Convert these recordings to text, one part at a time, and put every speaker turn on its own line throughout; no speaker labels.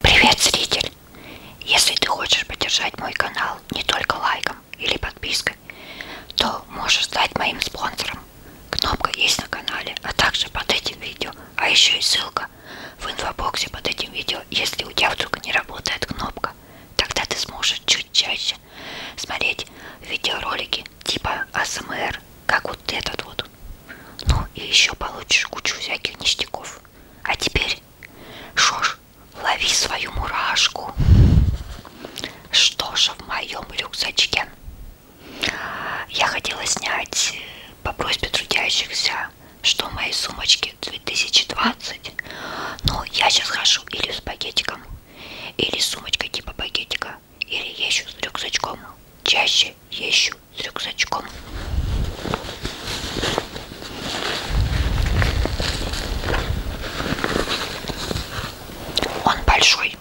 Привет, зритель! Если ты хочешь поддержать мой канал не только лайком или подпиской, то можешь стать моим спонсором. Кнопка есть на канале, а также под этим видео, а еще и ссылка в инфобоксе под этим видео, если у тебя вдруг не работает кнопка. Тогда ты сможешь чуть чаще смотреть видеоролики типа АСМР, как вот этот вот. Ну и еще получишь кучу всяких ништяков часов. А теперь, шо ж, лови свою мурашку. Что же в моем рюкзачке? Я хотела снять э, по просьбе трудящихся, что в моей сумочке 2020, но я сейчас хожу или с пакетиком, или с сумочкой типа пакетика, или ещу с рюкзачком. Чаще ещу с рюкзачком. Он большой.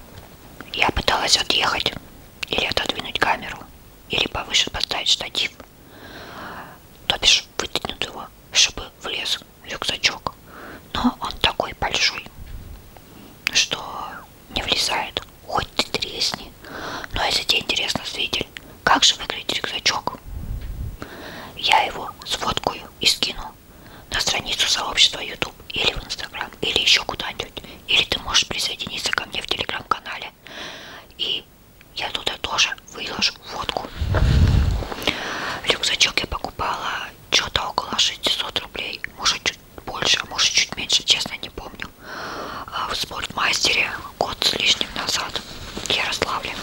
Я пыталась отъехать или отодвинуть камеру, или повыше поставить штатив. То бишь вытянуть его, чтобы влез рюкзачок. Но он такой большой, что не влезает. Хоть ты тресни. Но я за тебя интересно, зритель, как же выглядит рюкзачок? Я его сфоткаю и скину на страницу сообщества YouTube или в Instagram, или еще куда-нибудь. Или ты можешь присоединиться ко мне в телеграм-канале. И я туда тоже выложу фотку. Рюкзачок я покупала что-то около 600 рублей. Может чуть больше, а может чуть меньше, честно не помню в спортмастере год с лишним назад в Ярославле.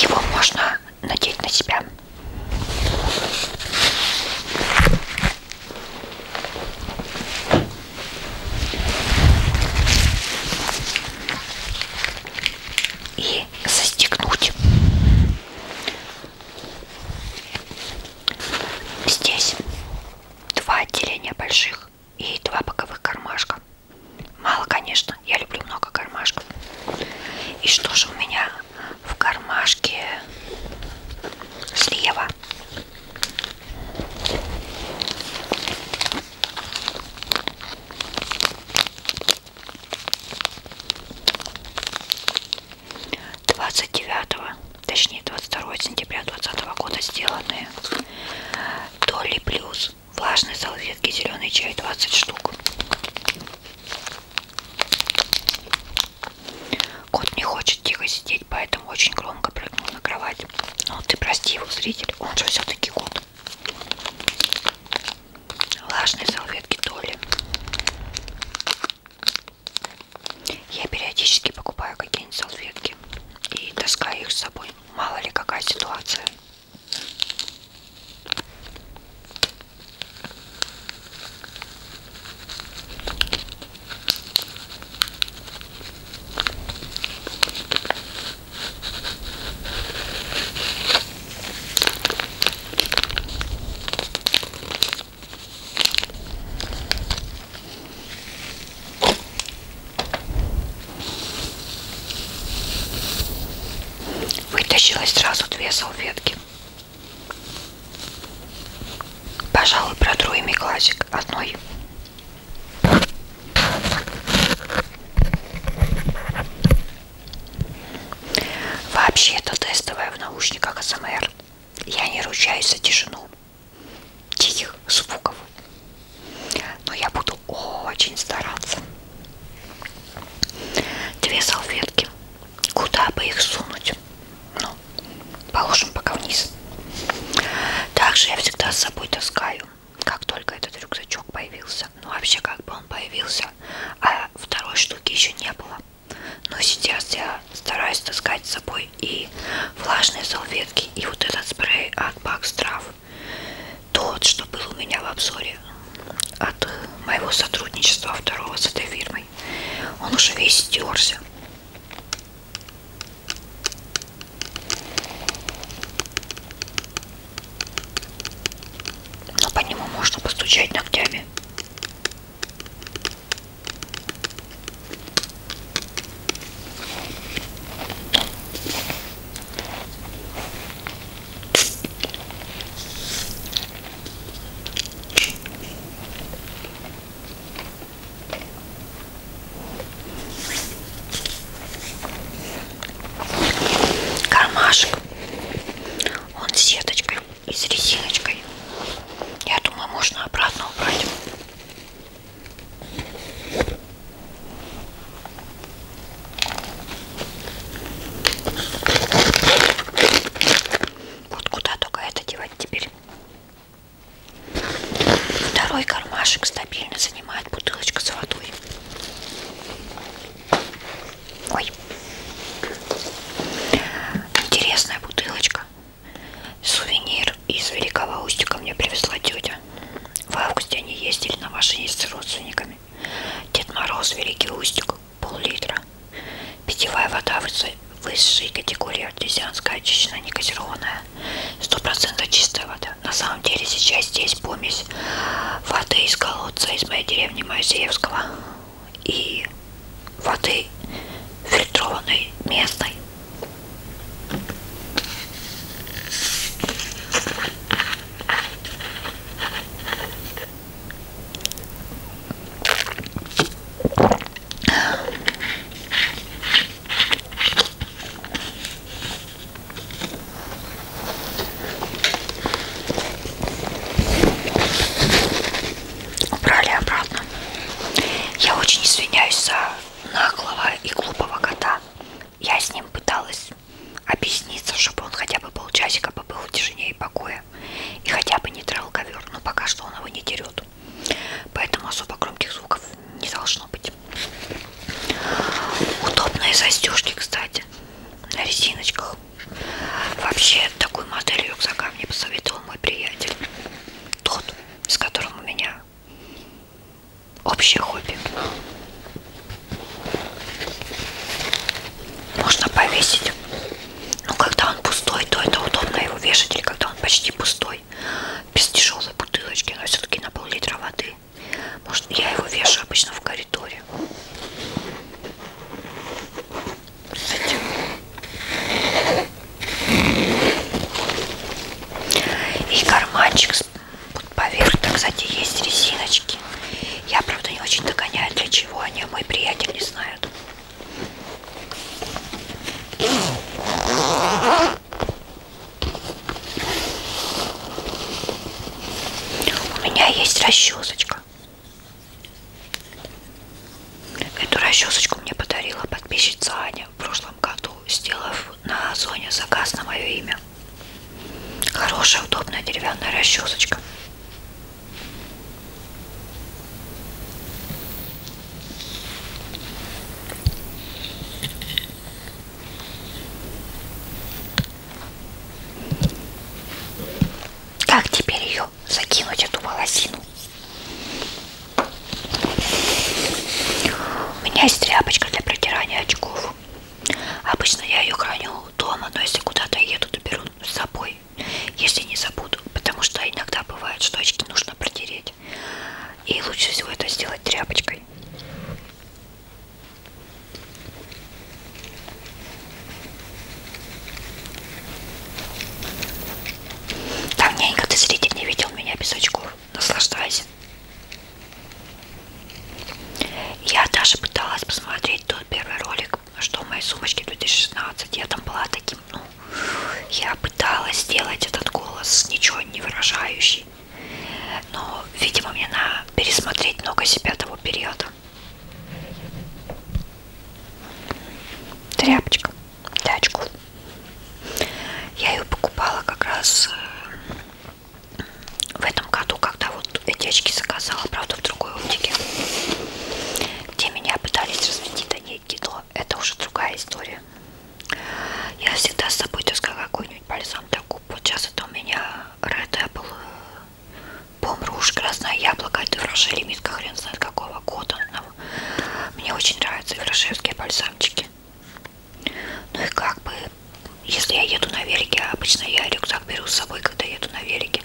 Его можно надеть на себя и застегнуть здесь два отделения больших и два боковых кармашка мало конечно я люблю много кармашков и что же у меня в кармашке слева 29 точнее 22 сентября 2020 года сделанные Толи плюс влажные салфетки зеленый чай 20 штук Кот не хочет тихо сидеть, поэтому очень громко прыгнул на кровать. Ну, ты прости его, зритель, он же все-таки кот. Влажные салфетки Толи. Я периодически покупаю какие-нибудь салфетки и таскаю их с собой. Мало ли какая ситуация. Вытащила сразу две салфетки. Пожалуй, протру ими классик одной Вообще это тестовое в наушниках СМР. Я не ручаюсь за тишину тихих звуков. Но я буду очень стараться. Две салфетки. Куда бы их сунуть? Ну, Положим пока вниз. Также я всегда с собой таскаю, как только этот рюкзачок появился. Ну, вообще, как бы он появился, а второй штуки еще не было. Но сейчас я стараюсь таскать с собой и влажные салфетки, и вот этот спрей от Бакстрав. Тот, что был у меня в обзоре от моего сотрудничества второго с этой фирмой. Он уже весь стерся. Но по нему можно постучать ногтями. Кармашек. Он с сеточкой и с резиночкой. Я думаю, можно обратно убрать. Вот куда только это девать теперь. Второй кармашек стабильно занимает бутылочка с водой. Ой. Интересная бутылочка. Сувенир из Великого Устика мне привезла тетя. В августе они ездили на машине с родственниками. Дед Мороз, Великий Устик, пол-литра. Питьевая вода высшей категории артезианская очищенная некозированная 100% чистая вода на самом деле сейчас здесь помесь воды из колодца из моей деревни Моисеевского и воды фильтрованной местной Убрали обратно. Я очень извиняюсь за наглого и глупого кота. Я с ним пыталась объясниться, чтобы он хотя бы полчасика побыл в тишине и покое. И хотя бы не трал ковер, но пока что он его не дерет. Поэтому особо громких звуков не должно быть. Удобные застежки, кстати, на резиночках. Вообще, такую модель рюкзака мне посоветовал мой приятель. Тот, с которым у меня общее хобби. Можно повесить. Но ну, когда он пустой, то это удобно его вешать. Или когда он почти пустой водой без тяжелой бутылочки, но все-таки на пол-литра воды. Может, я его вешаю обычно в коридоре. И карманчик под поверх-то, кстати, есть резиночки. Я, правда, не очень догоняю, для чего они, а мой приятель не знает. У меня есть расчесочка. Эту расчесочку мне подарила подписчица Аня в прошлом году, сделав на Озоне заказ на мое имя. Хорошая, удобная деревянная расчесочка. Как теперь ее закинуть, эту волосину? У меня есть тряпочка для протирания очков. Обычно я ее храню дома, но если куда-то еду, то беру с собой, если не забуду. Потому что иногда бывает, что очки нужно протереть очередь. И лучше всего это сделать тряпочкой. Давненько ты, зритель, не видел меня без очков. Наслаждайся. Я даже пыталась посмотреть тот первый ролик, что в моей сумочке 2016. Я там была таким, ну, я пыталась сделать этот голос ничего не выражающий, но, видимо, мне надо пересмотреть много себя того периода. Тряпочка, тачку. Я ее покупала как раз э, в этом году, когда вот эти очки заказала, правда, в другой оптике, где меня пытались развести до некий но это уже другая история. Я всегда с собой таскала какой-нибудь бальзам для губ. Вот сейчас это у меня Red Apple э, Помруж, красное яблоко. Это фраше лимитка, хрен знает какого года. Но мне очень нравятся фрашевские бальзамчики. Ну и как бы, если я еду на велике, обычно я рюкзак беру с собой, когда еду на велике.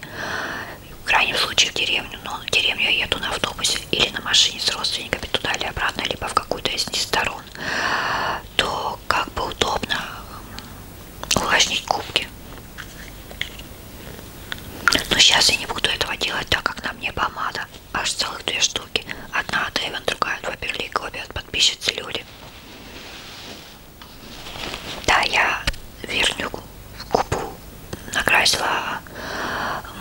В крайнем случае в деревню ну, деревню. Но в деревню я еду на автобусе или на машине с родственниками туда или обратно, либо в какую-то из сторон, то как бы удобно увлажнить губки. Но сейчас я не буду этого делать, так как на мне помада. Аж целых две штуки. Одна от Эйвен, другая от Ваперлик. Обе от подписчицы люди. Да, я верню губу накрасила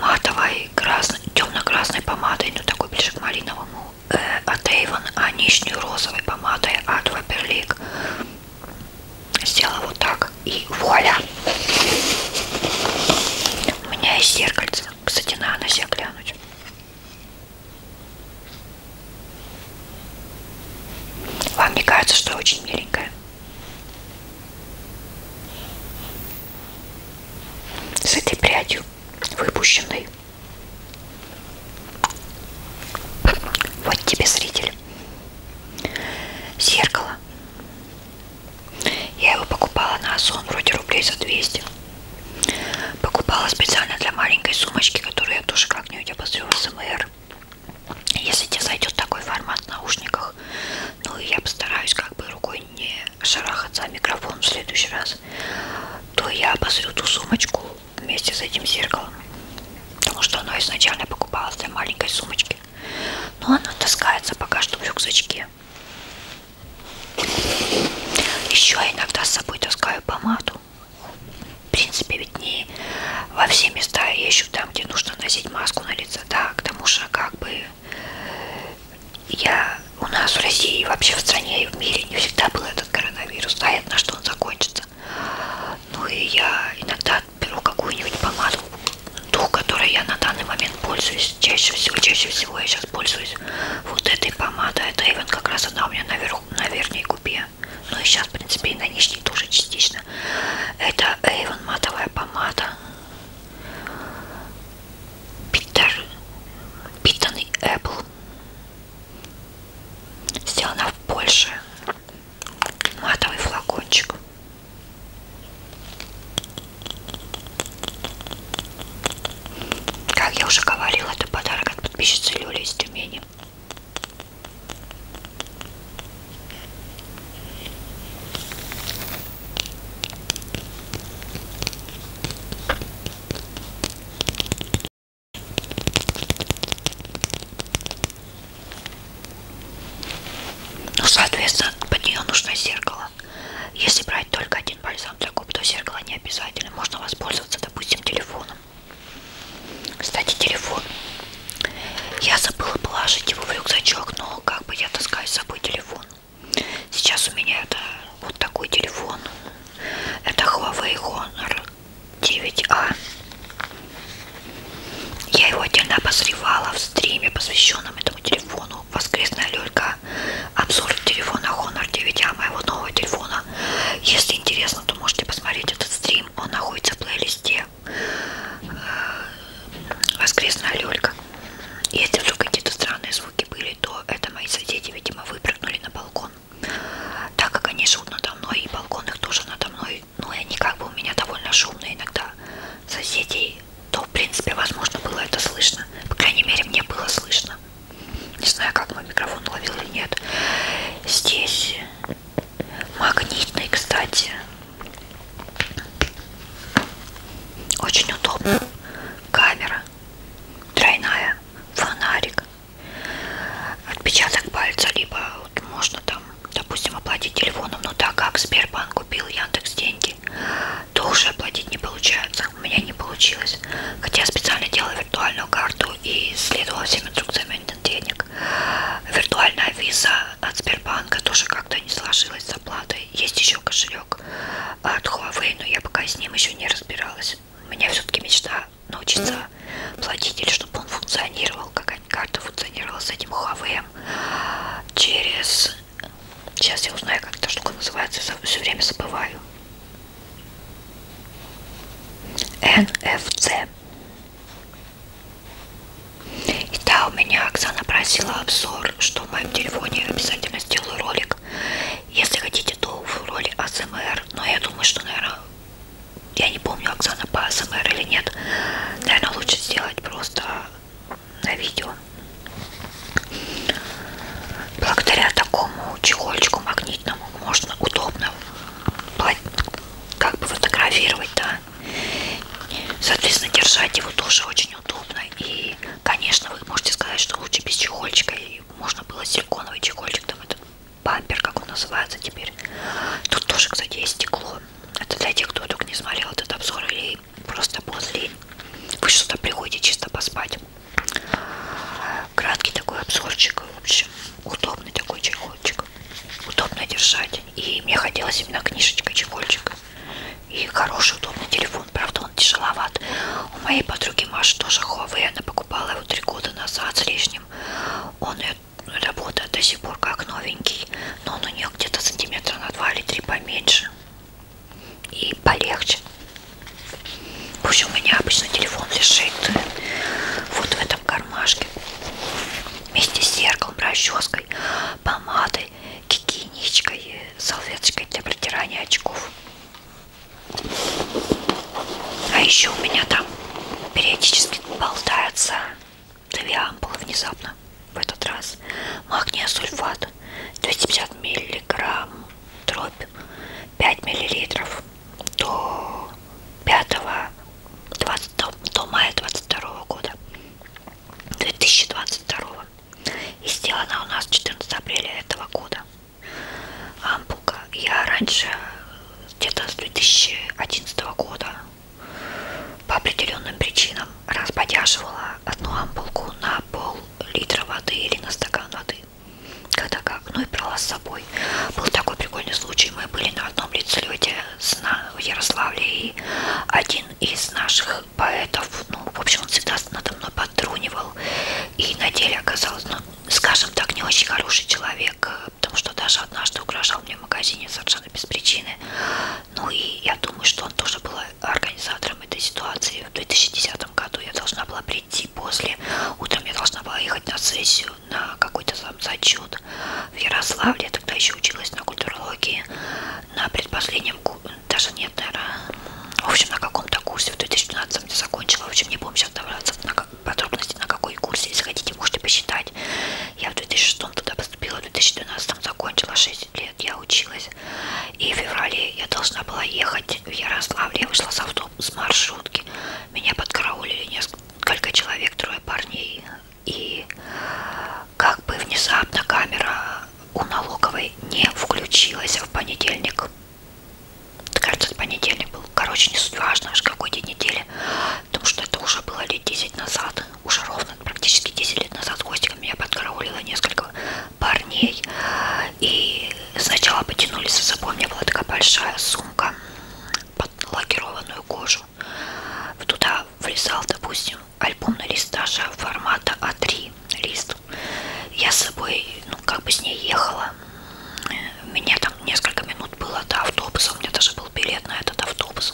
матовой красной, темно-красной помадой, ну такой ближе к малиновому, э, от Avon, а нижнюю розовой помадой от Ваперлик. Сделала вот так и вуаля! У меня есть зеркальце, кстати, надо на себя глянуть. Вам не кажется, что я очень миленькая? С этой прядью выпущенной. Вот тебе, зритель, зеркало. Я его покупала на Озон, вроде рублей за 200. Покупала специально для маленькой сумочки, которую я тоже как-нибудь обозрю в СМР. Если тебе зайдет такой формат в наушниках, ну и я постараюсь как бы рукой не шарахаться о а микрофон в следующий раз, то я обозрю ту сумочку вместе с этим зеркалом, потому что оно изначально покупалось для маленькой сумочки, но оно таскается пока что в рюкзачке. Еще иногда с собой таскаю помаду. В принципе, ведь не во все места я ищу там, где нужно носить маску на лицо, да, к тому же как бы я, у нас в России, вообще в стране и в мире не всегда был этот коронавирус. Понятно, что он закончится. Ну и я иногда беру какую-нибудь помаду, ту, которой я на данный момент пользуюсь. Чаще всего, чаще всего я сейчас пользуюсь вот этой помадой. Это Эйвен как раз она у меня наверху, на верхней губе. Ну и сейчас, в принципе, и на нижней тоже частично. Это Эйвен матовая помада. Питер, Питанный Apple. Сделана в Польше. Матовый флакончик. Как я уже говорила, это подарок от подписчицы Люли из Тюмени. Ну, соответственно, под нее нужно зеркало. Если брать только один бальзам для губ, то зеркало не обязательно. Можно воспользоваться, допустим, телефоном. Кстати, телефон. Я забыла положить его в рюкзачок, но как? как бы я таскаю с собой телефон. Сейчас у меня это вот такой телефон. Это Huawei Honor 9A. А. Я его отдельно обозревала в стриме, посвященном этому телефону. Воскресная Лёлька. Обзор телефона Honor 9A, а, моего нового телефона. Если интересно, то можете посмотреть этот стрим. Он находится в плейлисте воскресная люлька. Если вдруг какие-то странные звуки были, то это мои соседи, видимо, выпрыгнули на балкон. Так как они живут надо мной, и балкон их тоже надо мной, ну и они как бы у меня довольно шумные иногда соседей, то, в принципе, возможно, было это слышно. По крайней мере, мне было слышно. Не знаю, как мой микрофон ловил или нет. Здесь магнитный, кстати, очень удобно. Камера тройная, фонарик, отпечаток пальца, либо вот можно там, допустим, оплатить телефоном, но так как Сбербанк купил Яндекс деньги, то уже оплатить не получается. У меня не получилось. Хотя я специально делала виртуальную карту и следовала всем инструкциям денег. Виртуальная виза от Сбербанка тоже как-то не сложилось с оплатой. Есть еще кошелек от Huawei, но я пока с ним еще не разбиралась. У меня все-таки мечта научиться платить или чтобы он функционировал, какая-нибудь карта функционировала с этим Huawei через... Сейчас я узнаю, как эта штука называется, все время забываю. NFC. И да, у меня Оксана просила обзор, что в моем телефоне обязательно сделаю ролик. Если хотите, то в роли АСМР. Но я думаю, что, наверное, я не помню, Оксана по АСМР или нет. Наверное, лучше сделать просто на видео. Благодаря такому чехольчику магнитному можно удобно как бы фотографировать, да, Соответственно, держать его тоже очень удобно. И, конечно, вы можете сказать, что лучше без чехольчика. И можно было силиконовый чехольчик, там этот бампер, как он называется теперь. Тут тоже, кстати, есть стекло. Это для тех, кто только не смотрел этот обзор или просто после вы что-то приходите чисто поспать. Краткий такой обзорчик, в общем, удобный такой чехольчик. Удобно держать. И мне хотелось именно книжечка чехольчика. И хороший, удобный телефон. Правда, он тяжеловат. У моей подруги Маши тоже Huawei. Она покупала его три года назад с лишним. Он э, работает до сих пор как новенький. Но он у нее где-то сантиметра на 2 или 3 поменьше. И полегче. В общем, у меня обычно телефон лежит э, вот в этом кармашке. Вместе с зеркалом, расческой, помадой гигиеничкой и салфеточкой для протирания очков. А еще у меня там периодически болтается две ампулы внезапно в этот раз. Магния сульфат 250 миллиграмм дробь 5 миллилитров до 5 20, до мая 22 года. 2022 и сделана у нас 14 апреля этого года ампулка я раньше где-то с 2011 года по определенным причинам разбодяживала одну ампулку на пол литра воды или на стакан воды когда как ну и брала с собой был такой прикольный случай мы были на одном лицелете с на, в Ярославле и один из наших поэтов, ну, в общем, он всегда надо мной подтрунивал, и на деле оказалось, ну, скажем так, не очень хороший человек, э, потому что даже однажды угрожал мне в магазине совершенно без причины, ну, и я думаю, что он тоже был организатором этой ситуации в 2010 году, я должна была прийти после, утром я должна была ехать на сессию, на какой-то сам зачет, в Ярославле, я тогда еще училась на культурологии, на предпоследнем курсе, даже нет, наверное, в общем, на каком-то курсе в 2012 я закончила, в общем, не помню сейчас добраться на как, подробности, на какой курс, если хотите, можете посчитать. Я в 2006 туда поступила, в 2012 закончила 6 лет, я училась, и в феврале я должна была ехать в Ярославль, я вышла с автобуса, с маршрутки, меня подкараулили несколько человек, трое парней, и как бы внезапно камера у налоговой не включилась в понедельник. Кажется, понедельник был. Короче, не важно, аж какой день недели. Потому что это уже было лет 10 назад. Уже ровно практически 10 лет назад Костиком меня подкараулило несколько парней. И сначала потянули за собой. У меня была такая большая сумка под лакированную кожу. Туда влезал, допустим, альбомный лист даже формата А3 лист. Я с собой, ну, как бы с ней ехала. У меня там несколько минут было до автобуса, у меня даже был билет на этот автобус.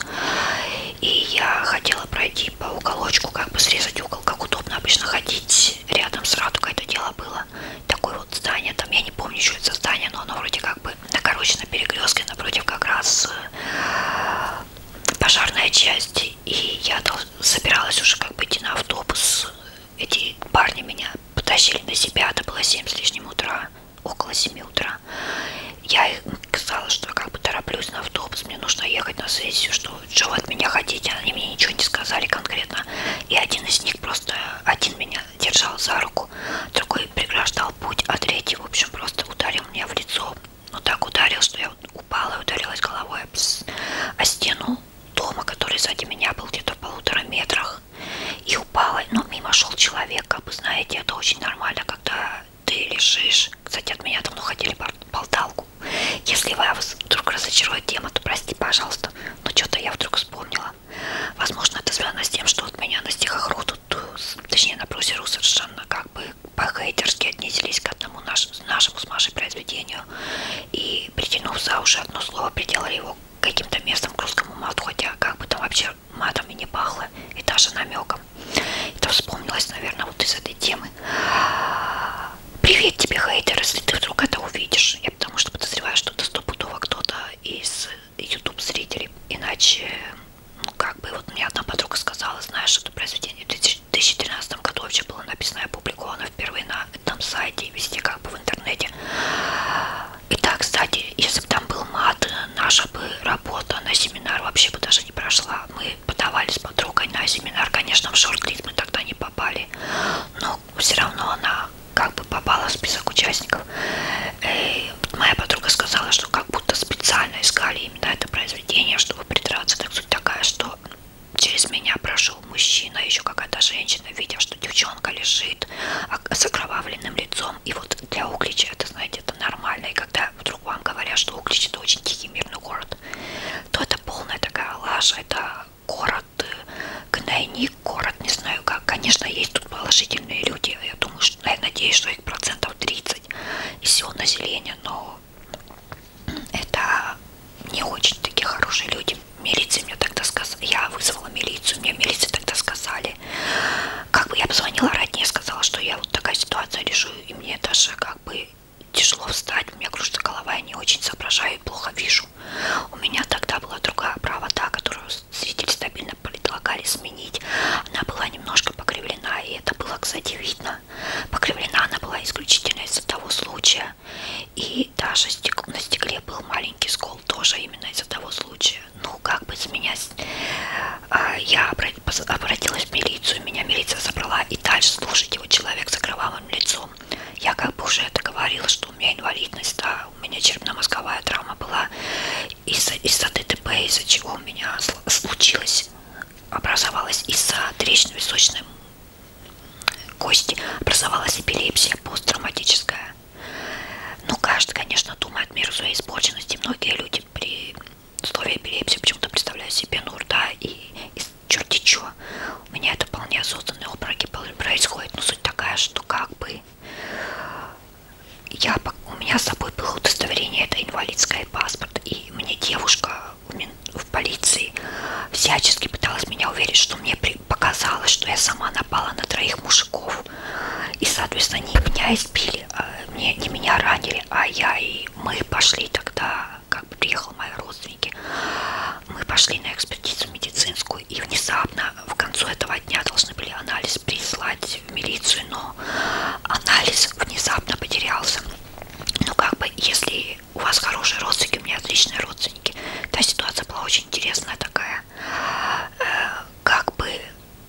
И я хотела пройти по уголочку, как бы срезать угол, как удобно обычно ходить рядом с Радугой. Это дело было такое вот здание, там я не помню, что это здание, но оно вроде как бы, на, короче, на перекрестке напротив как раз э, пожарная часть, и я собиралась уже как бы идти на автобус. Эти парни меня потащили на себя, это было 7 с лишним утра, около 7 утра. Я им сказала, что я как бы тороплюсь на автобус, мне нужно ехать на сессию, что, что вы от меня хотите, они мне ничего не сказали конкретно. И один из них просто, один меня держал за руку, другой преграждал путь, а третий, в общем, просто ударил меня в лицо но так ударил, что я упала и ударилась головой о стену дома, который сзади меня был где-то в полутора метрах. И упала, но мимо шел человек, как бы знаете, это очень нормально, когда ты лежишь. Кстати, от меня давно хотели болталку. Если вас вдруг разочарует тема, то прости, пожалуйста, но что-то я вдруг вспомнила. Возможно, это связано с тем, что от меня на стихах роду тут, точнее на брусеру совершенно как бы по-хейтерски отнеслись к одному наш, нашему с Машей произведению и притянув за уши одно слово, приделали его каким-то местом к русскому мату, хотя как бы там вообще матом и не пахло, и даже намеком. Это вспомнилось, наверное, вот из этой темы. Привет тебе, хейтер, если ты вдруг это увидишь. Я потому что подозреваю, что это стопудово кто-то из YouTube-зрителей. Иначе ну, как бы, вот мне одна подруга сказала, знаешь, это произведение в 2013 году вообще было написано и опубликовано впервые на этом сайте и везде как бы в интернете. И так, кстати, если бы там был мат, наша бы работа на семинар вообще бы даже не прошла. Мы подавали с подругой на семинар, конечно, в шорт-лист мы тогда не попали, но все равно она как бы попала в список участников. И э, моя подруга сказала, что как будто специально искали именно это произведение, чтобы придраться. Так суть такая, что через меня прошел мужчина, еще какая-то женщина, видя, что девчонка лежит с окровавленным лицом. И вот для Углича это, знаете, это нормально. И когда вдруг вам говорят, что Углич это очень тихий мирный город, то это полная такая лажа. Это город э, гнойник, город, не знаю как. Конечно, есть тут положительные люди. Я думаю, что, я надеюсь, что их процентов 30 из всего населения, но это не очень такие хорошие люди. Милиция мне тогда сказала, я вызвала милицию, мне милиция тогда сказали, как бы я позвонила роднее, сказала, что я вот такая ситуация решу, и мне даже как бы тяжело встать, у меня кружится голова, я не очень соображаю и плохо вижу. У меня тогда была другая правота, которую зрители стабильно предлагали сменить. Она была немножко покривлена, и это было, кстати, видно. Покривлена она была исключительно из-за того случая. И даже стек... на стекле был маленький скол тоже именно из-за того случая. Ну, как бы с меня... А, я обратилась в милицию, меня милиция забрала. И дальше, слушайте, вот человек с окровавленным лицом. Я как бы уже это говорила, что у меня инвалидность, да, у меня черепно-мозговая травма была из-за из ДТП, из-за чего у меня случилось, образовалась из-за трещинно-височной кости, образовалась эпилепсия посттравматическая. Ну, каждый, конечно, думает меру своей испорченности. Многие люди при слове эпилепсии почему-то представляют себе нурда и, и черти чё. У меня это вполне осознанные обмороки происходят. Но ну, суть такая, что как бы я, у меня с собой было удостоверение, это инвалидское паспорт, и мне девушка в полиции всячески пыталась меня уверить, что мне показалось, что я сама напала на троих мужиков. И, соответственно, не меня избили, а, не, не меня ранили, а я и мы пошли тогда, как приехал мои родственники, мы пошли на экспертизу медицинскую, и внезапно в конце этого дня должны были анализы пыталась прислать в милицию, но анализ внезапно потерялся. Ну как бы, если у вас хорошие родственники, у меня отличные родственники. Та ситуация была очень интересная такая. Э, как бы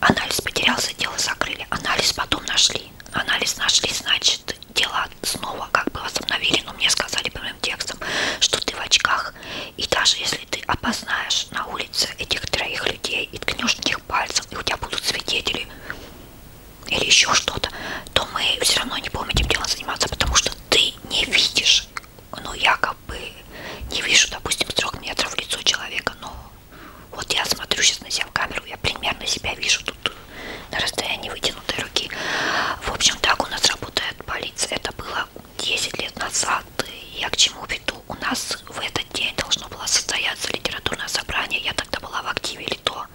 анализ потерялся, дело закрыли. Анализ потом нашли. Анализ нашли, значит, дело снова как бы восстановили. Но мне сказали прямым текстом, что ты в очках. И даже если ты опознаешь на улице этих троих людей, и ткнешь в них пальцем, и у тебя будут свидетели или еще что-то, то мы все равно не будем этим делом заниматься, потому что ты не видишь, ну якобы не вижу, допустим, с трех метров в лицо человека, но вот я смотрю сейчас на себя в камеру, я примерно себя вижу тут на расстоянии вытянутой руки. В общем, так у нас работает полиция. Это было 10 лет назад. Я к чему веду? У нас в этом этот день должно было состояться литературное собрание, я тогда была в активе ЛИТО,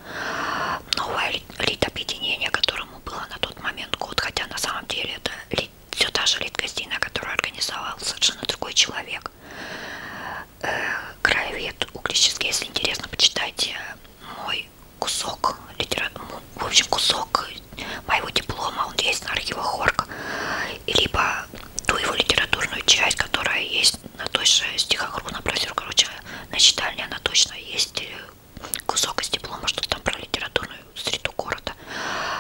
новое литобъединение, которому было на тот момент год, хотя на самом деле это все та же литгостина, которую организовал совершенно другой человек. Э, краевед Углический, если интересно, почитайте мой кусок литературы, в общем, кусок моего диплома, он есть на архивах Орг, либо ту его литературную часть, которая есть на той же стихохрона прозер, короче, на читальне она точно есть кусок из диплома, что там про литературную среду города,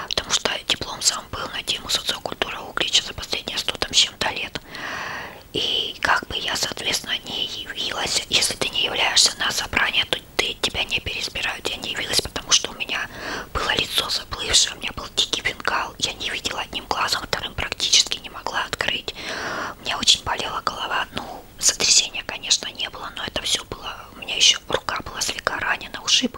потому что диплом сам был на тему социокультура Углича за последние 100 там с чем-то лет. И как бы я, соответственно, не явилась, если ты не являешься на собрание, то ты, тебя не переизбирают. Я не явилась, потому что у меня было лицо глаз уплывший, у меня был дикий бенгал, я не видела одним глазом, вторым практически не могла открыть. У меня очень болела голова, ну, сотрясения, конечно, не было, но это все было, у меня еще рука была слегка ранена, ушиб,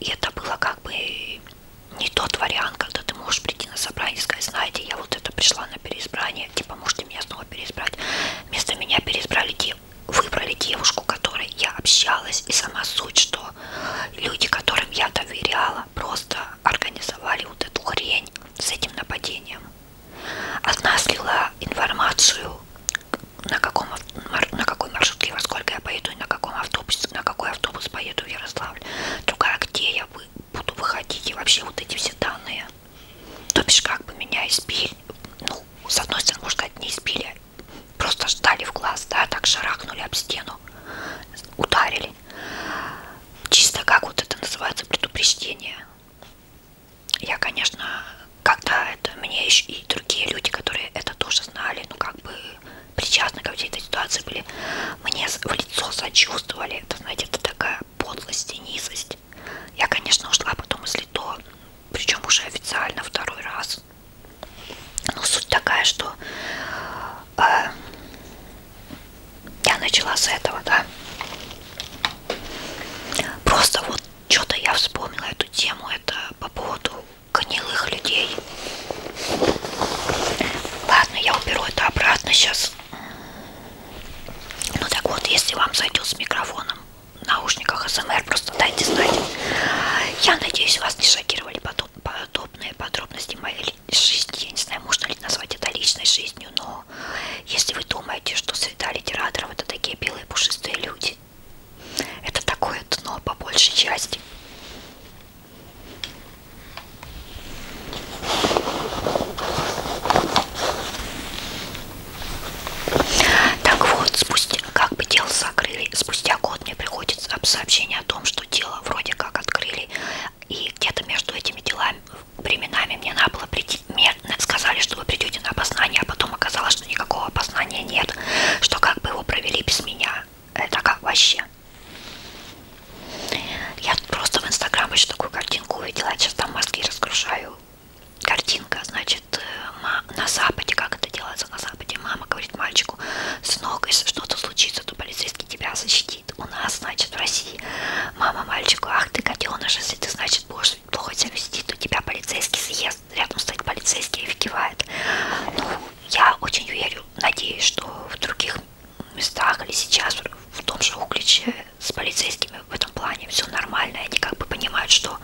и это было как бы не тот вариант, когда ты можешь прийти на собрание и сказать, знаете, я вот это пришла на переизбрание, типа, можете меня снова переизбрать. Вместо меня переизбрали, выбрали девушку, которой я общалась, и сама суть, что что люди, которым я доверяла, просто организовали вот эту хрень с этим нападением. Одна слила информацию, на, каком, на какой маршрутке, во сколько я поеду и на каком автобусе, на какой автобус поеду в Ярославль. Другая, где я буду выходить и вообще вот эти все данные. То бишь, как бы меня избили, ну, с одной стороны, можно сказать, не избили, просто ждали в глаз, да, так шарахнули об стену, ударили. Чисто как вот это называется предупреждение. Я, конечно, когда это мне еще и другие люди, которые это тоже знали, ну как бы причастны ко всей этой ситуации были, мне в лицо сочувствовали. Это, знаете, это такая подлость и низость. Я, конечно, ушла потом из Лито, причем уже официально второй раз. Ну, суть такая, что э, я начала с этого, да. Просто вот что-то я вспомнила эту тему, это по поводу гнилых людей. Ладно, я уберу это обратно сейчас. Ну так вот, если вам зайдет с микрофоном в наушниках СМР, просто дайте знать. Я надеюсь, вас не шокировали потом подобные подробности моей жизни. Я не знаю, можно ли назвать это личной жизнью, но если вы думаете, что среда литераторов это такие белые пушистые люди, это такое дно по большей части. Так вот, спустя, как бы дело закрыли, спустя год вот мне приходит сообщение о том, что дело вроде как открыли, и где-то между этими делами, временами мне надо было прийти, мне сказали, что вы придете на опознание, а потом оказалось, что никакого опознания нет, что как бы его провели без меня. Это как вообще? Я просто в Инстаграм еще такую картинку увидела, я сейчас там мозги разгружаю. Картинка, значит, э, на Западе, как это делается, слезы на западе. Мама говорит мальчику, сынок, если что-то случится, то полицейский тебя защитит. У нас, значит, в России. Мама мальчику, ах ты гаденыш, если ты, значит, будешь плохо себя вести, то тебя полицейский съест. Рядом стоит полицейский и выкивает. Ну, я очень верю, надеюсь, что в других местах или сейчас в том же Угличе с полицейскими в этом плане все нормально. Они как бы понимают, что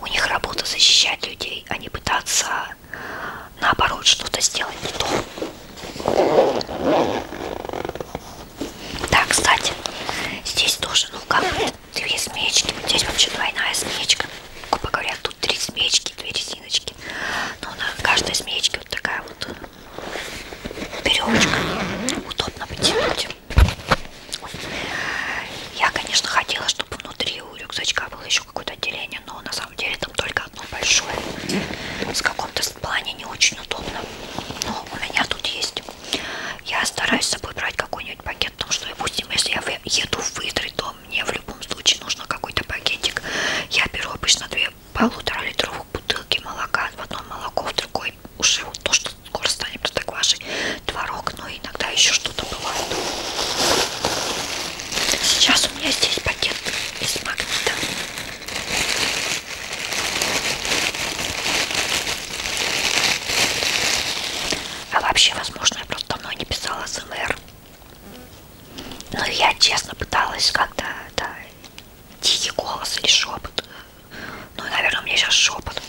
у них работа защищать людей, а не пытаться наоборот что-то сделать не то. Да, кстати, здесь тоже, ну как две смеечки, вот здесь вообще двойная смеечка, грубо говоря, тут три смеечки, две резиночки, но ну, на каждой смеечке вот такая вот веревочка, удобно потянуть. Ой. Я, конечно, хотела, чтобы внутри у рюкзачка было еще какое-то отделение, но на самом самом деле там только одно большое. С каком-то плане не очень удобно. Но у меня тут есть. Я стараюсь с собой брать какой-нибудь пакет, потому что, допустим, если я еду в Идры, то мне в любом случае нужно какой-то пакетик. Я беру обычно две полутора литровых бутылки молока. В одном молоко, в другой уже вот то, что скоро станет протоквашей, творог, но иногда еще что-то бывает. Сейчас у меня здесь пакет из магнита. А вообще, возможно, я просто давно не писала СМР. Но я честно пыталась как-то да, тихий голос или шепот. Ну, наверное, у меня сейчас шепот.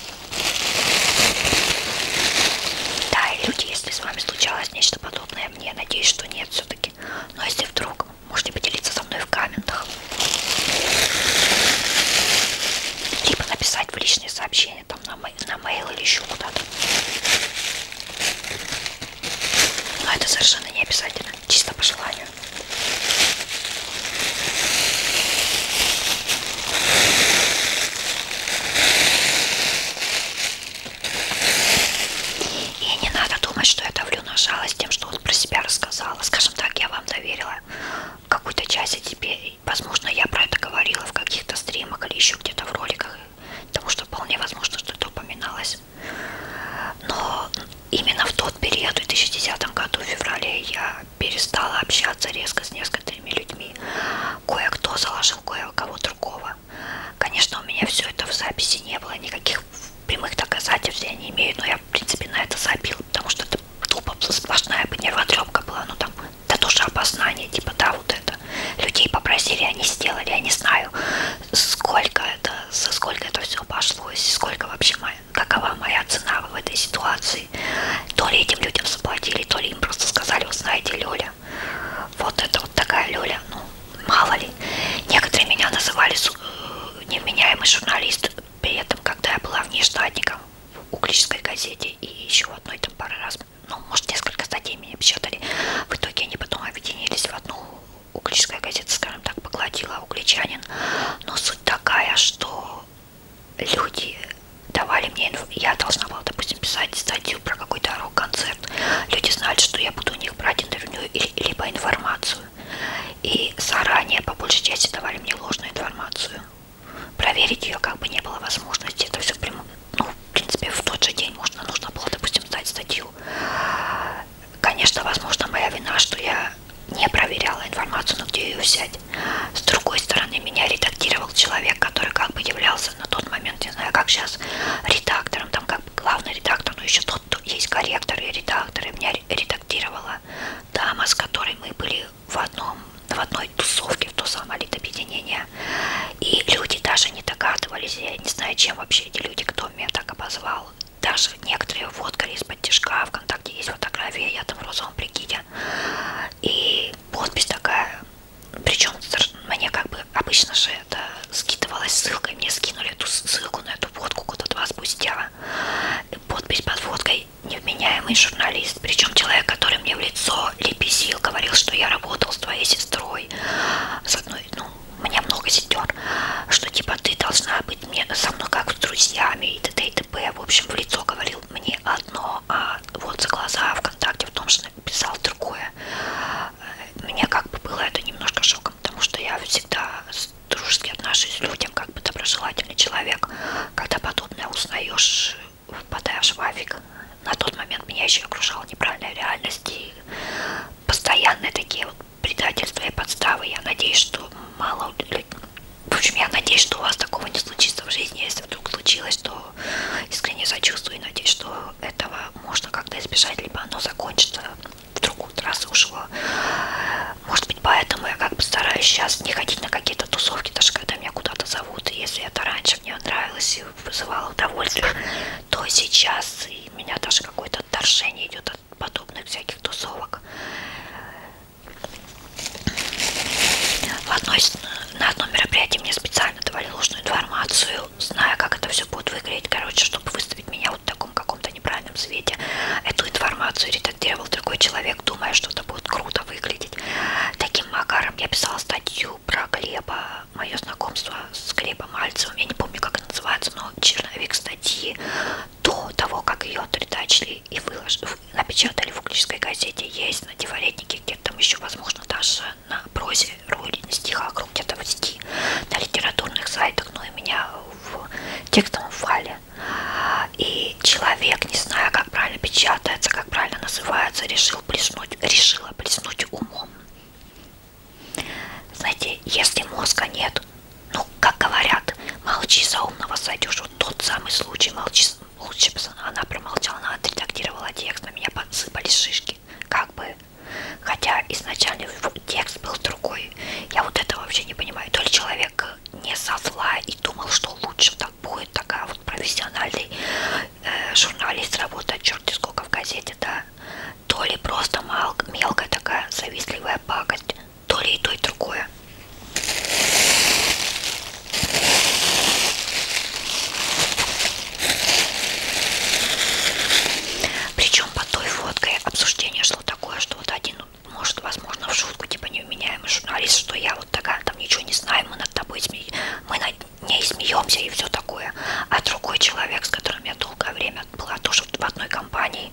Да, и люди, если с вами случалось нечто подобное, знакомая мне, надеюсь, что нет все-таки. Но ну, а если вдруг, можете поделиться со мной в комментах. Либо написать в личные сообщения, там на, на мейл или еще куда-то. Но это совершенно не обязательно, чисто по желанию. И не надо думать, что я давлю на жалость тем, что он про себя рассказала. Скажем так, я вам доверила какую-то часть, и теперь, возможно, я про это говорила в каких-то стримах или еще где-то в роликах, потому что вполне возможно, что это упоминалось. Но именно в тот период, в 2010 году, в феврале, я перестала общаться резко с несколькими людьми. Кое-кто заложил кое-кого другого. Конечно, у меня все это в записи не было, никаких прямых доказательств я не имею, но я, в принципе, на это забил, потому что это тупо сплошная бы нервотрепка была, ну там, да тоже обознание, типа, да, вот это. Людей попросили, они сделали, я не знаю, сколько это, за сколько это все обошлось, сколько вообще, моя, какова моя цена в этой ситуации. То ли этим людям заплатили, то ли им просто сказали, вы знаете, Лёля, люля. Вот это вот такая люля, ну, мало ли. Некоторые меня называли э, невменяемый журналист при этом, когда я была внештатником в Угличской газете и еще одной там пары раз, ну, может, несколько статей меня печатали. В итоге они потом объединились в одну Угличская газета, скажем так, поглотила угличанин. Но суть такая, что люди давали мне неделю, я должна была, допустим, писать статью про какой-то рок-концерт. Люди знали, что я буду у них брать интервью или, либо информацию. И заранее, по большей части, давали мне ложную информацию. Проверить ее как бы не было возможности. Это все прямо, ну, в принципе, в тот же день можно, нужно было, допустим, сдать статью. Конечно, возможно, моя вина, что я не проверяла информацию, но где ее взять. С другой стороны, меня редактировал был человек, который как бы являлся на тот момент, не знаю, как сейчас, редактором, там как бы главный редактор, но еще тот, кто есть корректор и редактор, и меня редактировала дама, с которой мы были в одном, в одной тусовке, в то самое литобъединение. И люди даже не догадывались, я не знаю, чем вообще эти люди, кто меня так обозвал. Даже некоторые фоткали из-под тяжка, ВКонтакте есть фотография, я там в розовом прикиде. И подпись такая, причем мне как бы обычно же это скидывалась ссылкой, мне скинули эту ссылку на эту фотку куда два спустя. Подпись под фоткой невменяемый журналист. Причем человек, который мне в лицо лепесил, говорил, что я работал с твоей сестрой. С одной, ну, у меня много сестер. Что типа ты должна быть мне со мной как с друзьями и т.д. и т.п. В общем, в лицо говорил мне одно а вот за глаза ВКонтакте в том, что написал другое. Э, мне как бы было это немножко шоком, потому что я всегда дружески отношусь к людям, как бы доброжелательный человек. Когда подобное узнаешь, впадаешь в афик. На тот момент меня еще окружала неправильная реальность и постоянные такие вот предательства и подставы. Я надеюсь, что мало людей... В общем, я надеюсь, что у вас такого не случится в жизни. Если вдруг случилось, то искренне сочувствую и надеюсь, что этого можно как-то избежать, либо оно закончится в другую трассу ушло. Может быть, поэтому я как бы стараюсь сейчас не ходить на какие-то тусовки, даже когда меня куда-то зовут. И если это раньше мне нравилось и вызывало удовольствие, то сейчас и у меня даже какое-то отторжение идет от подобных всяких тусовок. В одной на одном мероприятии мне специально давали ложную информацию, зная, как это все будет выглядеть, короче, чтобы выставить меня вот в таком каком-то неправильном свете. Эту информацию редактировал другой человек, думая, что это будет круто выглядеть. Таким макаром я писала статью про Глеба, мое знакомство с Глебом Мальцевым, я не помню, как это называется, но черновик статьи до того, как ее отредачили и выложили, напечатали в «Углической газете», есть на «Диворетнике», где-то там еще, возможно, даже на прозе, роли, на стихах, круг где-то 20 на литературных сайтах, но ну, и меня в текстовом файле. И человек, не зная, как правильно печатается, как правильно называется, решил плеснуть, решила плеснуть умом. Знаете, если мозга нет, ну, как говорят, молчи за умного сойдешь. Вот тот самый случай, молчи, Лучше бы она промолчала, она отредактировала текст, на меня подсыпались шишки. Как бы. Хотя изначально текст был другой. Я вот это вообще не понимаю. То ли человек не со зла и думал, что лучше так будет такая вот профессиональный э, журналист работает черти сколько в газете, да. То ли просто мал, мелкая такая завистливая пакость, то ли и то, и другое. Причем под той фоткой обсуждение шло такое, что вот один, может, возможно, в шутку, типа невменяемый журналист, что я вот такая, там ничего не знаю, мы над тобой сме... мы над ней смеемся и все такое. А другой человек, с которым я долгое время была тоже в одной компании,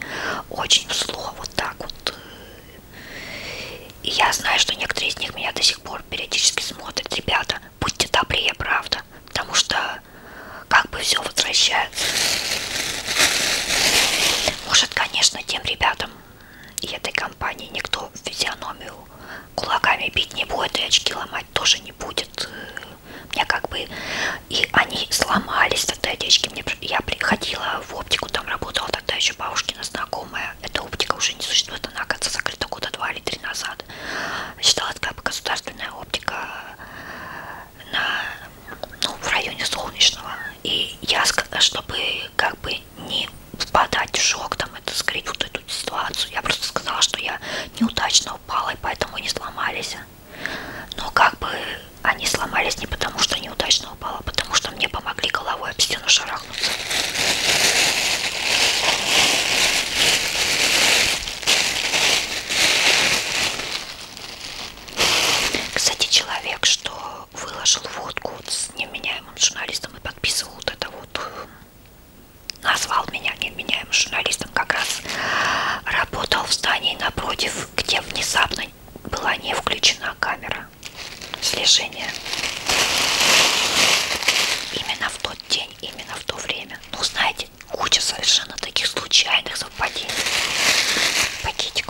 очень зло, вот так вот. Э, и я знаю, что некоторые из них меня до сих пор периодически смотрят. Ребята, будьте добрее, правда, потому что как бы все возвращается. Может, конечно, тем ребятам и этой компании никто физиономию кулаками бить не будет, и очки ломать тоже не будет. Мне как бы и они сломались тогда очки. Мне я приходила в оптику, там работала тогда еще бабушкина знакомая. Эта оптика уже не существует, она, оказывается, закрыта года два или три назад лет. Считалось как бы государственная оптика на, ну, в районе Солнечного. И я, чтобы как бы не впадать в шок, там, это скрыть вот эту ситуацию, я просто сказала, что я неудачно упала, и поэтому не сломались. Но как бы они сломались не потому, что неудачно упала, а потому что мне помогли головой об стену шарахнуть. Кстати, человек, что выложил водку вот с неменяемым журналистом и подписывал вот это вот, назвал меня неменяемым журналистом, как раз работал в здании напротив, где внезапно была не включена камера слежения. Именно в то тот день, именно в то время. Ну, знаете, куча совершенно таких случайных совпадений. Пакетик.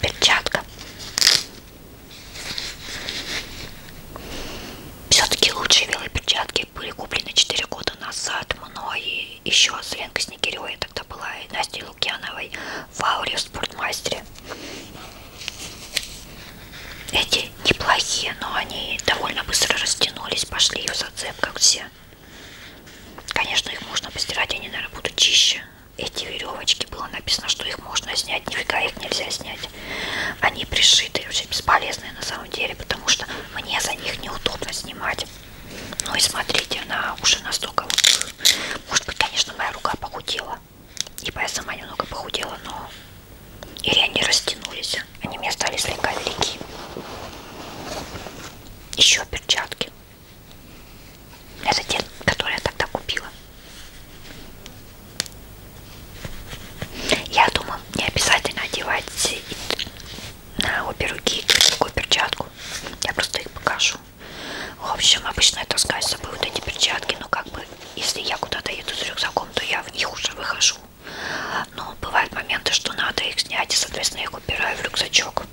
Перчатка. Все-таки лучшие белые перчатки были куплены 4 года назад мной и еще с Ленкой Снегиревой я тогда была, и Настей Лукьяновой в ауре в спортмастере. Эти неплохие, но они довольно быстро растянулись, пошли в зацеп, как все. Конечно, их можно постирать, они, наверное, будут чище. Эти веревочки было написано, что их можно снять, нифига их нельзя снять. Они пришиты, вообще бесполезные на самом деле, потому что мне за них неудобно снимать. Ну и смотрите, она уже настолько вот может быть, конечно, моя рука похудела. Ибо типа, я сама немного похудела, но... Или они растянулись. Они мне стали слегка велики. Еще перчатки. Это те, которые я тогда купила. Я думаю, не обязательно одевать на обе руки другую перчатку. Я просто их покажу ношу. В общем, обычно я таскаю с собой вот эти перчатки, но как бы, если я куда-то еду с рюкзаком, то я в них уже выхожу. Но бывают моменты, что надо их снять, и, соответственно, я их убираю в рюкзачок.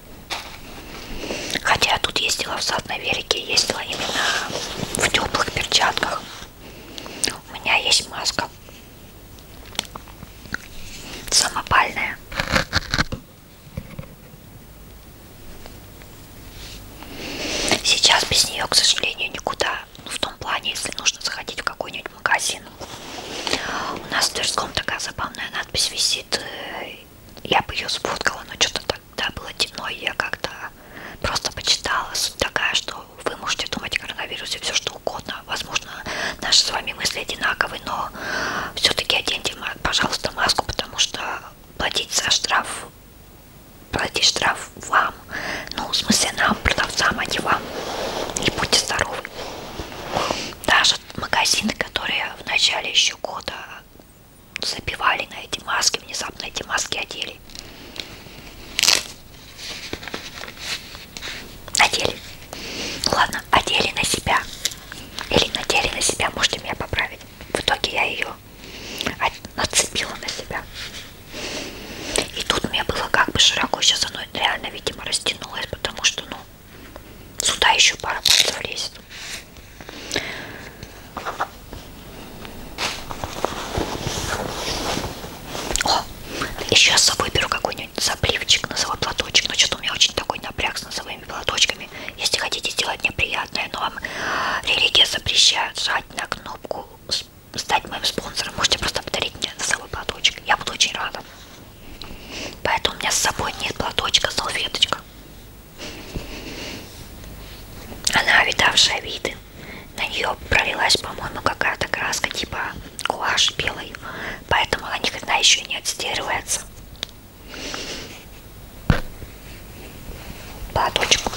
Хотя я тут ездила в сад на велике, ездила именно в теплых перчатках. У меня есть маска самопальная. Сейчас без нее, к сожалению, никуда. Ну, в том плане, если нужно заходить в какой-нибудь магазин. У нас в Тверском такая забавная надпись висит. Э, я бы ее сфоткала, но что-то тогда было темно, и я как-то просто почитала. Суть такая, что вы можете думать о коронавирусе все что угодно. Возможно, наши с вами мысли одинаковые, но все-таки оденьте, пожалуйста, маску, потому что платить за штраф, платить штраф вам, ну, в смысле нам, продавцам, а не вам, и будьте здоровы. Даже магазины, которые в начале еще года забивали на эти маски, внезапно эти маски одели. Надели. Ну ладно, одели на себя. Или надели на себя, можете меня поправить в итоге я ее нацепила на себя. И тут мне было как бы широко, сейчас оно реально, видимо, растянулось, потому что, ну, сюда еще пара пальцев лезет. О, еще я с собой беру какой-нибудь запливчик, носовой платочек, но что-то у меня очень такой напряг с носовым самыми платочками. Если хотите сделать неприятное, но вам э, религия запрещает жать на кнопку стать моим спонсором, можете просто подарить мне носовой платочек. Я буду очень рада. Поэтому у меня с собой нет платочка, салфеточка. Она видавшая виды. На нее пролилась, по-моему, какая-то краска, типа гуашь белый. Поэтому она никогда еще не отстирывается. Платочку.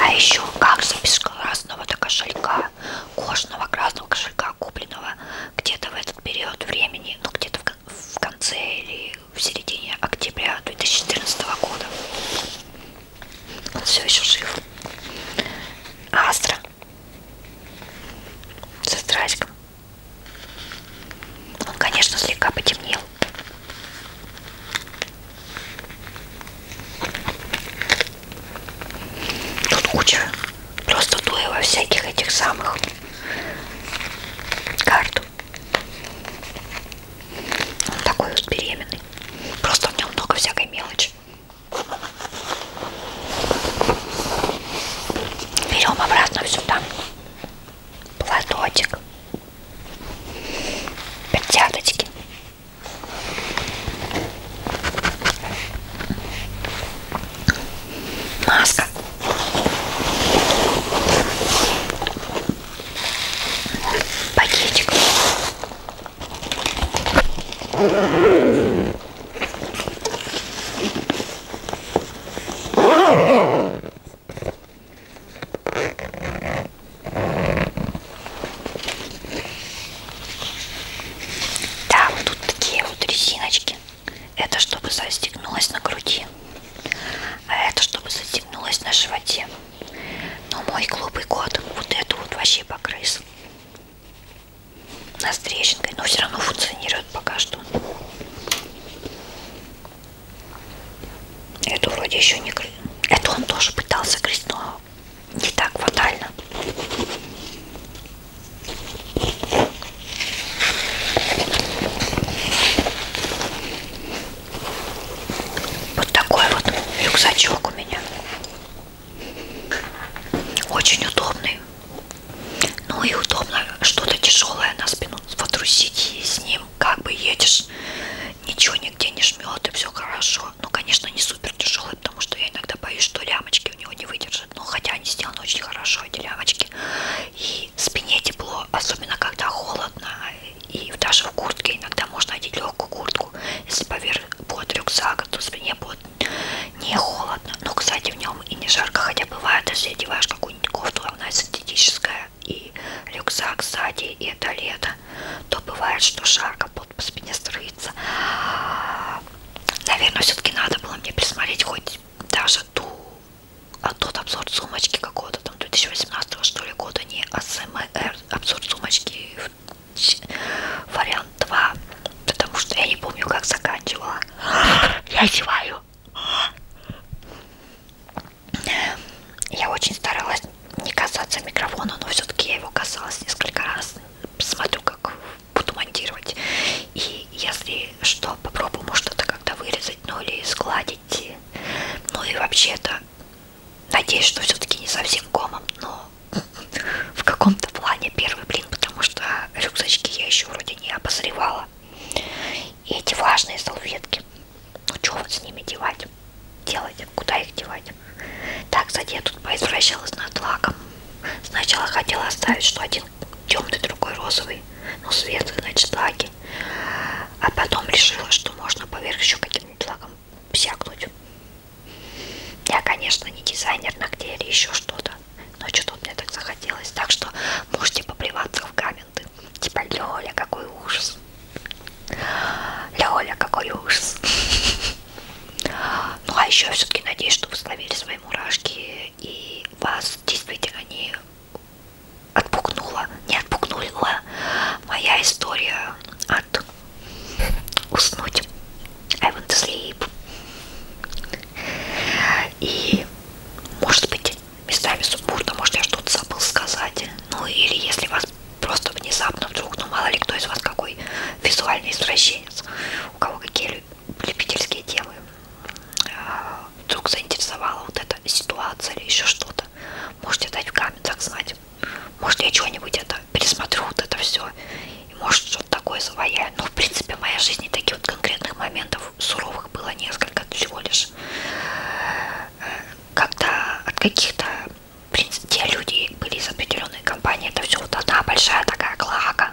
А еще как же без красного-то кошелька, кожного красного кошелька, купленного где-то в этот период времени, ну где-то в конце или в середине октября 2014 года. Он все еще жив. Астра. Со страйком. Он, конечно, слегка потемнел. Тут куча просто туева всяких этих самых карт. Он такой вот беременный. Просто в нем много всякой мелочи берем обратно сюда платочек перчаточки маска пакетик да, вот тут такие вот резиночки. Это чтобы застегнулось на груди. А это чтобы застегнулось на животе. Но мой глупый кот вот эту вот вообще покрыс на трещинкой, но все равно функционирует пока что. Эту вроде еще не крыть. Эту он тоже пытался крыть, но не так фатально. Вот такой вот рюкзачок у меня. Очень удобный. Ну и удобно что-то тяжелое на спину водрузить и с ним как бы едешь, ничего нигде не жмет и все хорошо. Ну, конечно, не супер тяжелый, потому что я иногда боюсь, что лямочки у него не выдержат. Но ну, хотя они сделаны очень хорошо, эти лямочки. И спине тепло, особенно когда холодно. И даже в куртке иногда можно одеть легкую куртку. Если поверх будет рюкзак, то спине будет не холодно. Но, ну, кстати, у меня днем и не жарко, хотя бывает, если одеваешь какую-нибудь кофту, она синтетическая, и рюкзак сзади, и это лето, то бывает, что жарко, под по спине строится. Наверное, все-таки надо было мне присмотреть хоть даже ту, а тот обзор сумочки какого-то, там 2018 что ли года, не АСМР, обзор сумочки вариант 2, потому что я не помню, как заканчивала. Я одеваю я очень старалась не касаться микрофона, но все-таки я его касалась несколько раз. Смотрю, как буду монтировать. И если что, попробую, может, это как-то вырезать, ну или складить. Ну и вообще-то, надеюсь, что все-таки не совсем комом, но в каком-то плане первый блин, потому что рюкзачки я еще вроде не обозревала. И эти влажные салфетки. Ну что вот с ними девать? Делать? Куда их девать? Так, кстати, я тут поизвращалась над лаком. Сначала хотела оставить, что один темный, другой розовый. Ну, светлый, значит, лаки. А потом решила, что можно поверх еще каким-нибудь лаком всякнуть. Я, конечно, не дизайнер ногтей или еще что-то но что-то мне так захотелось. Так что можете поплеваться в комменты. Типа, Лёля, какой ужас. Лёля, какой ужас. Ну, а еще я все-таки надеюсь, что вы словили свои мурашки и вас действительно не отпугнула, не отпугнула моя история от уснуть. I want to sleep. И, может быть, местами сумбурно, может, я что-то забыл сказать. Ну, или если вас просто внезапно вдруг, ну, мало ли кто из вас какой визуальный извращенец, у кого какие любительские темы, а, вдруг заинтересовала вот эта ситуация или еще что-то, можете дать в комментах знать. Может, я чего-нибудь это пересмотрю, вот это все, и может что-то такое заваяю. Но в принципе в моей жизни таких вот конкретных моментов суровых было несколько всего лишь. Э, когда от каких-то, в принципе, те люди были из определенной компании, это все вот одна большая такая клака.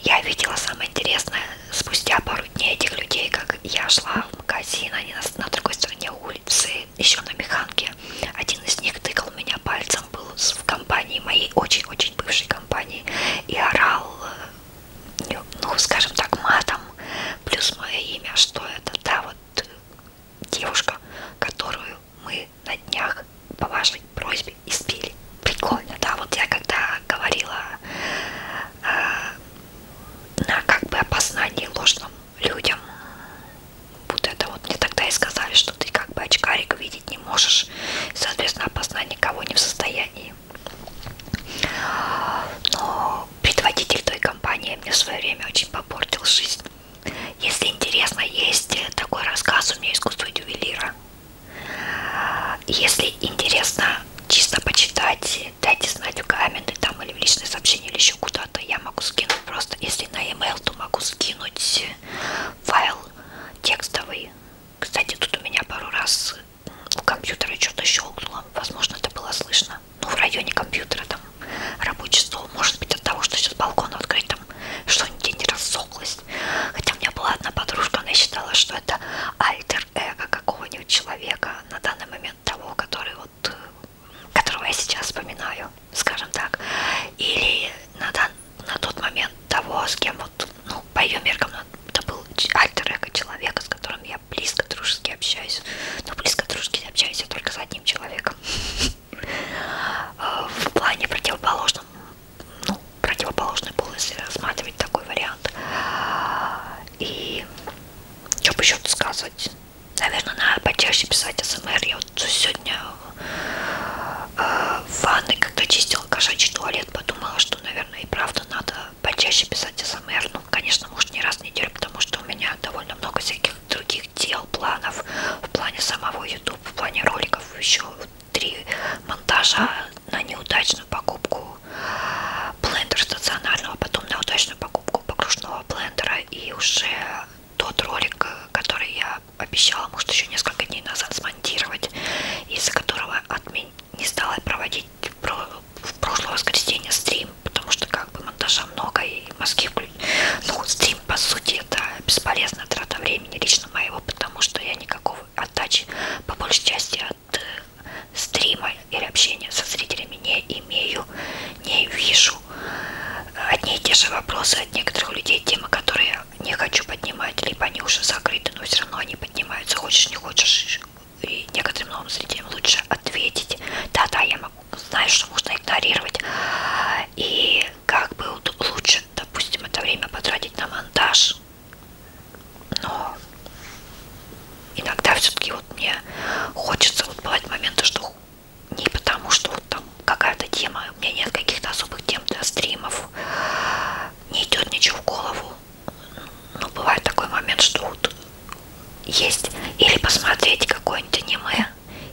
Я видела самое интересное спустя пару дней этих людей, как я шла в магазин, они на, на другой стороне улицы, еще на механке. Один из них тыкал меня пальцем, был в компании моей очень-очень бывшей компании и орал, э, ну, скажем так, матом, плюс мое имя, что это та вот э, девушка, которую мы на днях по вашей просьбе избили. Прикольно, да, вот я когда говорила э, на как бы опознании ложным людям, вот это вот мне тогда и сказали, что ты как бы очкарик видеть не можешь. И, соответственно, опознать никого не в состоянии. Но предводитель той компании мне в свое время очень попортил жизнь. Если интересно, есть такой рассказ у меня «Искусство ювелира». Если интересно чисто почитать, дайте знать в комменты там или в личные сообщения или еще куда-то. Я могу скинуть просто, если на e-mail, то могу скинуть файл текстовый кстати, тут у меня пару раз у компьютера что-то щелкнуло. Возможно, это было слышно. Ну, в районе компьютера там рабочий стол. Может быть, от того, что сейчас балкон открыт, там что-нибудь не рассохлось. Хотя у меня была одна подружка, она считала, что это альтер-эго какого-нибудь человека на данный момент того, который вот э, которого я сейчас вспоминаю, скажем так. Или на, дан, на тот момент того, с кем вот, ну, по ее меркам, ну, это был альтер человека, с которым я близко дружески общаюсь. Но ну, близко дружески общаюсь я только с одним человеком. А, в плане противоположном, ну, противоположный пол, если рассматривать такой вариант. И что бы еще тут сказать? Наверное, надо почаще писать СМР. Я вот сегодня Э, в ванной, когда чистила кошачий туалет, подумала, что, наверное, и правда надо почаще писать СМР. Ну, конечно, может, не раз в неделю, потому что у меня довольно много всяких других дел, планов в плане самого YouTube, в плане роликов, еще три монтажа на неудачную покупку блендера стационарного, а потом на удачную покупку погружного блендера и уже тот ролик, э, который я обещала, может, еще несколько дней назад смонтировать, из-за которого отмен... не стала проводить в прошлое воскресенье стрим, потому что как бы монтажа много и мозги вклю... Ну, стрим, по сути, это бесполезная трата времени лично моего, потому что я никакого отдачи, по большей части, от э, стрима или общения со зрителями не имею, не вижу. Одни и те же вопросы от некоторых людей, темы, которые не хочу поднимать, либо они уже закрыты, но все равно они поднимаются, хочешь, не хочешь, и некоторым новым зрителям лучше ответить, да-да, я могу, знаю, что можно игнорировать, и как бы лучше, допустим, это время потратить на монтаж, но иногда все-таки вот мне хочется вот бывать моменты, что не потому, что вот там какая-то тема, у меня нет каких-то особых тем для стримов, не идет ничего в голову. Ну, бывает такой момент, что вот есть или посмотреть какое-нибудь аниме,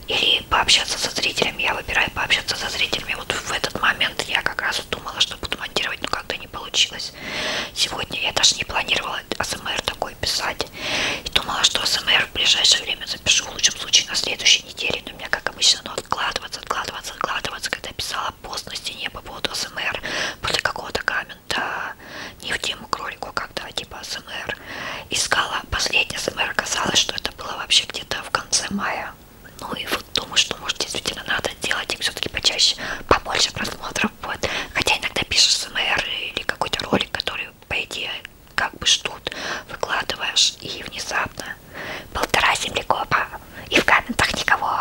или пообщаться со зрителями. Я выбираю пообщаться со зрителями. Вот в этот момент я как раз думала, что буду монтировать, но как-то не получилось. Сегодня я даже не планировала АСМР такой писать. И думала, что АСМР в ближайшее время запишу, в лучшем случае на следующей неделе. Но у меня, как обычно, откладываться, откладываться, откладываться, когда писала пост на стене по поводу СМР после какого-то камента, не в тему кролику, а когда типа СМР искала последний СМР, оказалось, что это было вообще где-то в конце мая. Ну и вот думаю, что может действительно надо делать их все-таки почаще, побольше просмотров будет. Хотя иногда пишешь СМР или какой-то ролик, который по идее как бы ждут, выкладываешь и внезапно полтора землекопа и в комментах никого.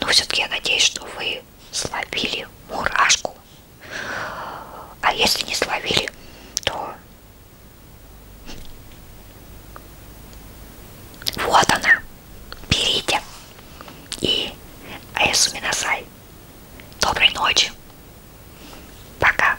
Но все-таки я надеюсь, что вы словили мурашку. А если не словили, то вот она. Берите. И Айсу Минасай. Доброй ночи. Пока.